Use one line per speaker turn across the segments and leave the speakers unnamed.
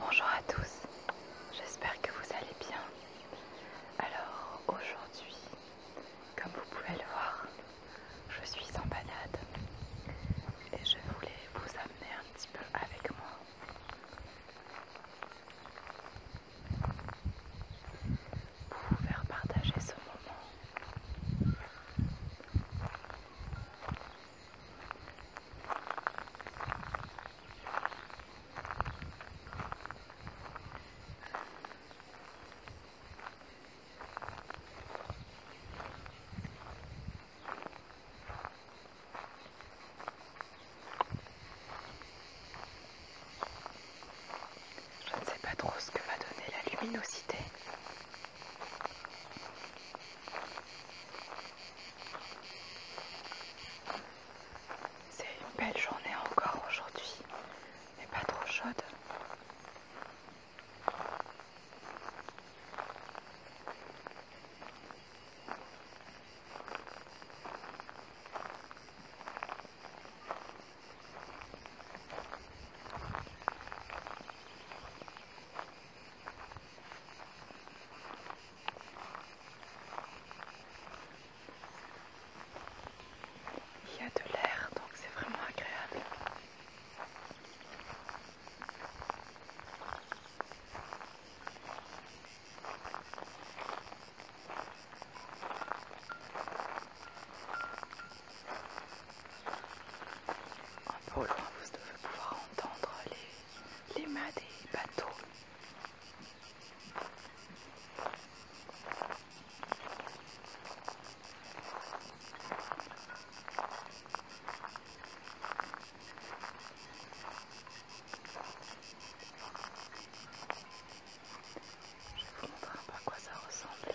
Bonjour à tous, j'espère que vous allez bien. Alors aujourd'hui, comme vous pouvez le voir, je suis en balade et je voulais vous amener un petit peu avec moi. Pour vous faire partager ce moment. Je ne sais pas trop ce que va donner la luminosité. C'est une belle journée encore aujourd'hui, mais pas trop chaude. Il y a de l'air, donc c'est vraiment agréable. Un peu loin, vous devez pouvoir entendre les les mâts des bateaux. Je vous montre à quoi ça ressemble.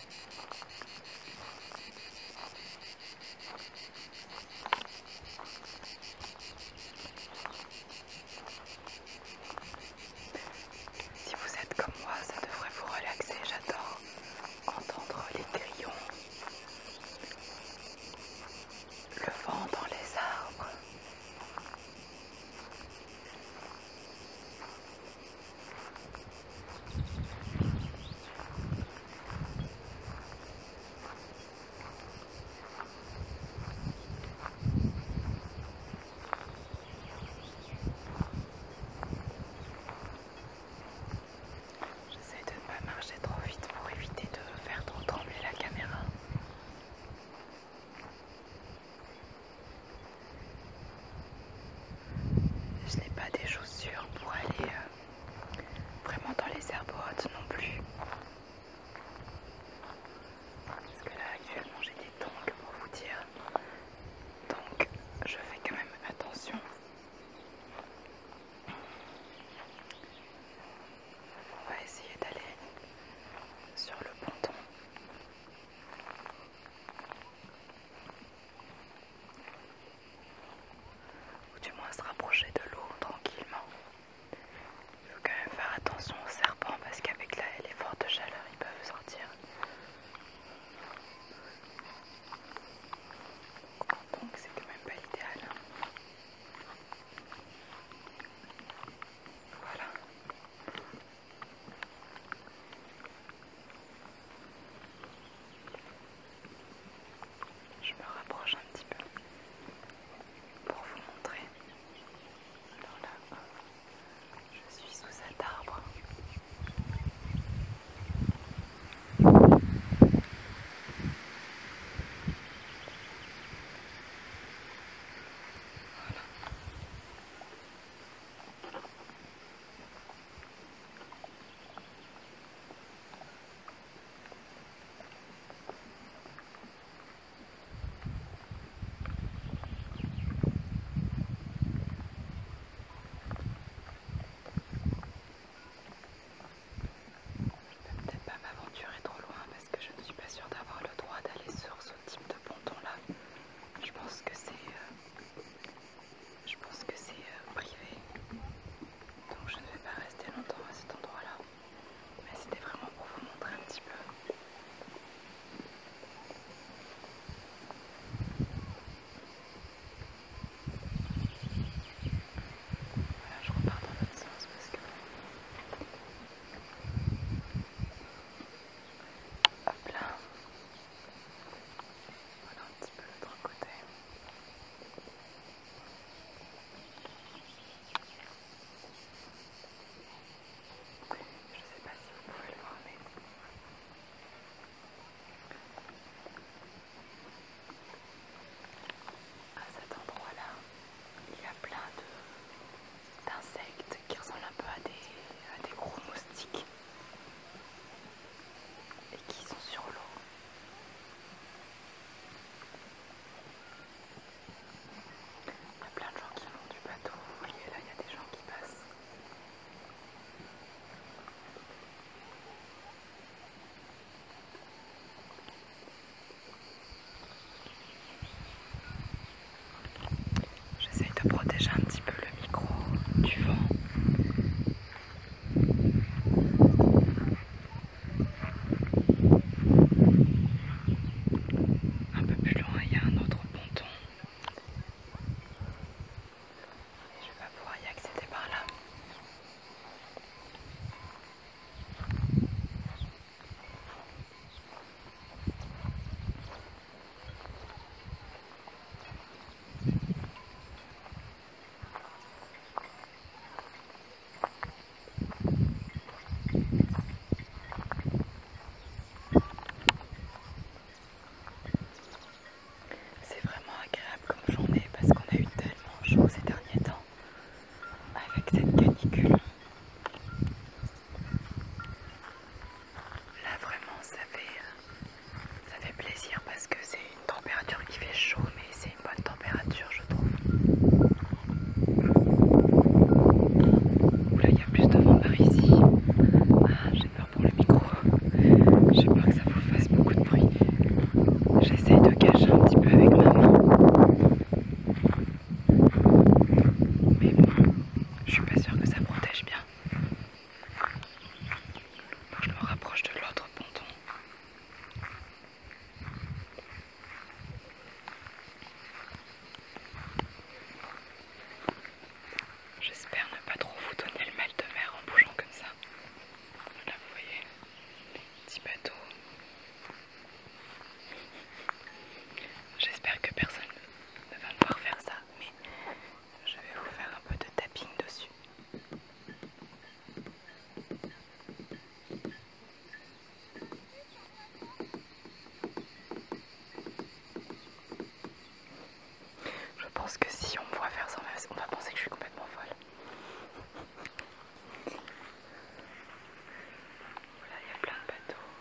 Si vous êtes comme moi, ça devrait vous relaxer. J'adore entendre les grillons, le vent dans les arbres. J'essaie de ne pas marcher trop vite pour éviter de faire trop trembler la caméra. Je n'ai pas des chaussures pour aller euh, vraiment dans les herbes hautes non plus. Parce que là actuellement j'ai des tongs pour vous dire. Donc je fais quand même attention. On va essayer d'aller sur le ponton ou du moins se rapprocher de l'eau tranquillement. Il faut quand même faire attention aux serpents parce qu'avec les fortes chaleur, ils peuvent sortir. Donc c'est quand même pas l'idéal. Hein. Voilà. Je me rapproche un petit peu pour vous montrer. Alors là, je suis sous cet arbre. Je vais peut-être pas m'aventurer trop loin parce que je ne suis pas sûre d'avoir le droit d'aller sur ce type de ponton là. Je pense que c'est euh, je pense que c'est euh, privé, donc je ne vais pas rester longtemps à cet endroit-là. Mais c'était vraiment pour vous montrer un petit peu. Voilà, je repars dans l'autre sens parce que... Hop là, voilà un petit peu l'autre côté. Je ne sais pas si vous pouvez le voir, mais à cet endroit-là, il y a plein d'insectes qui ressemblent un peu à des, à des gros moustiques et qui sont sur l'eau. Il y a plein de gens qui vont du bateau, vous voyez là il y a des gens qui passent. J'essaye de protéger un petit peu le micro du vent un peu plus loin, il y a un autre ponton. Je vais pas pouvoir y accéder par là. C'est vraiment agréable comme journée parce qu'on a eu tellement chaud ces derniers temps avec cette canicule. Là vraiment ça fait ça fait plaisir parce que c'est une température qui fait chaud, mais c'est une bonne température, je trouve. Oula, il y a plus de vent par ici. Ah, j'ai peur pour le micro. J'ai peur que ça vous fasse beaucoup de bruit. J'essaye de cacher un petit peu avec ma main. Mais bon, je suis pas sûre que ça protège bien je me rapproche de l'autre ponton. J'espère ne pas trop vous donner le mal de mer en bougeant comme ça. Là vous voyez, petit bateau. J'espère que personne ne va me voir faire ça, mais je vais vous faire un peu de tapping dessus. Je pense que si on me voit faire ça, on va penser que je suis complètement folle. Voilà, il y a plein de bateaux.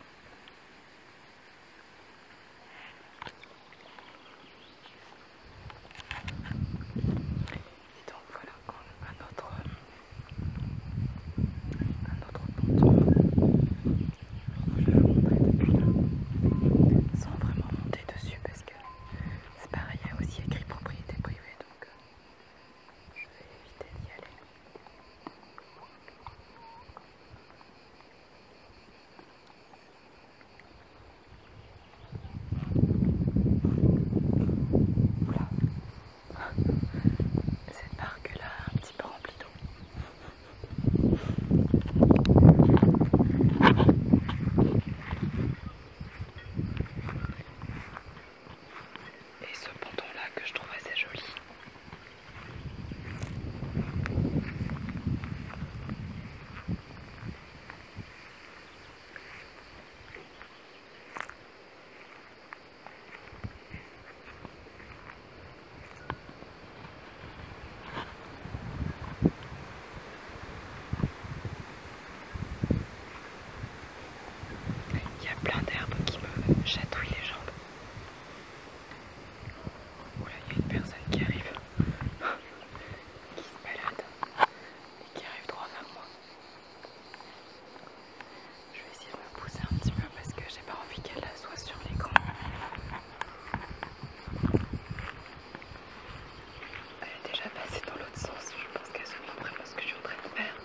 Et donc voilà un autre, un autre Je vais vous montrer depuis là. Sans vraiment monter dessus parce que c'est pareil, il y a aussi écrit propriété privée donc euh, je vais éviter d'y aller. Voilà. Cette barque là, un petit peu remplie d'eau. Et ce ponton là que je trouve assez joli. Il y a plein d'herbes qui me chatouillent les jambes. Oula, il y a une personne qui arrive, qui se balade qui arrive droit vers moi. Je vais essayer de me pousser un petit peu parce que j'ai pas envie qu'elle soit sur l'écran. Elle est déjà passée dans l'autre sens, je pense qu'elle se pas ce que je suis en train de faire.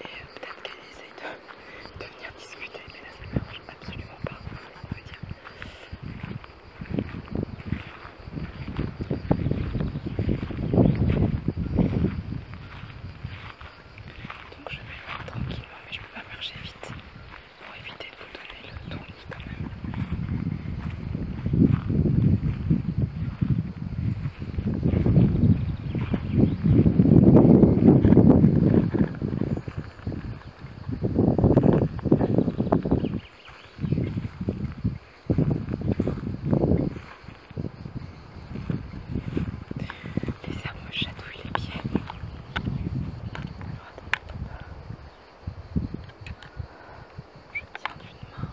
Et euh, peut-être qu'elle essaye de, venir discuter, mais là ça ne marche absolument pas, on peut dire. Donc je vais tranquillement, mais je ne peux pas marcher vite pour éviter de vous donner le tournis quand même. Les herbes me chatouillent les pieds. Alors Je tiens d'une main,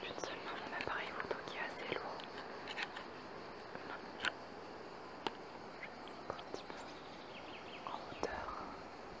d'une seule main, mon appareil photo qui est assez lourd. un petit peu en hauteur.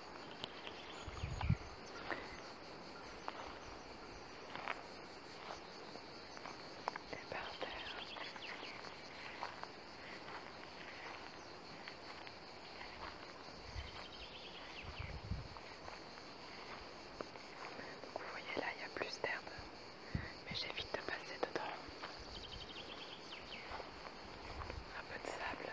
vous voyez là, il y a plus d'herbe, mais j'évite de passer dedans. Un peu de sable.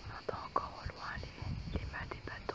On entend encore au loin les, les mâts des bateaux.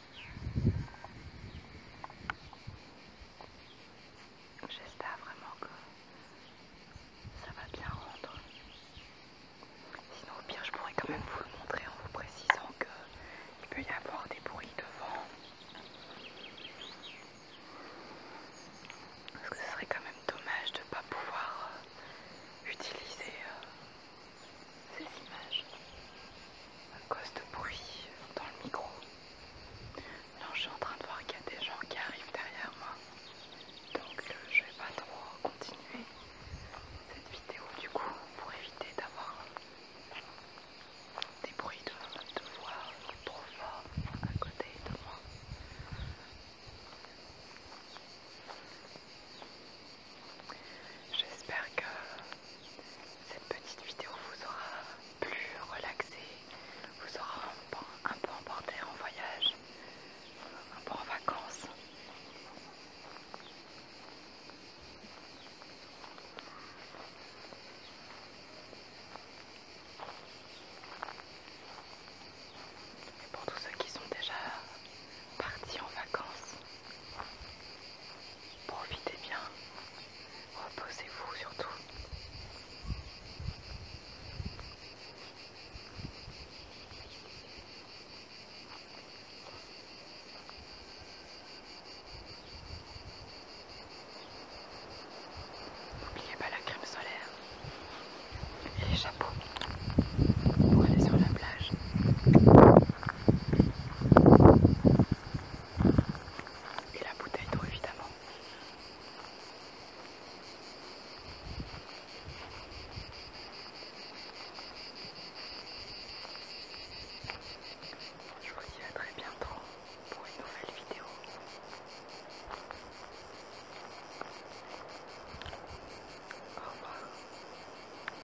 J'espère vraiment que ça va bien rendre. Sinon au pire je pourrais quand même vous le montrer en vous précisant qu'il peut y avoir des bruits de vent. Parce que ce serait quand même dommage de ne pas pouvoir utiliser euh, ces images à cause de bruit dans le micro. Là, je suis en train de voir qu'il y a des gens qui arrivent derrière moi. Donc, euh, je vais pas trop continuer cette vidéo du coup pour éviter d'avoir des bruits de, voix trop fort à côté de moi. J'espère que cette petite vidéo vous aura plus relaxé, vous aura un peu, un peu emporté en voyage, un peu en vacances. Et pour tous ceux qui sont déjà partis en vacances, Profitez bien. Reposez-vous surtout. N'oubliez pas la crème solaire et les chapeaux pour aller sur la plage. Et la bouteille d'eau évidemment. Je vous dis très bientôt pour une nouvelle vidéo. Au revoir.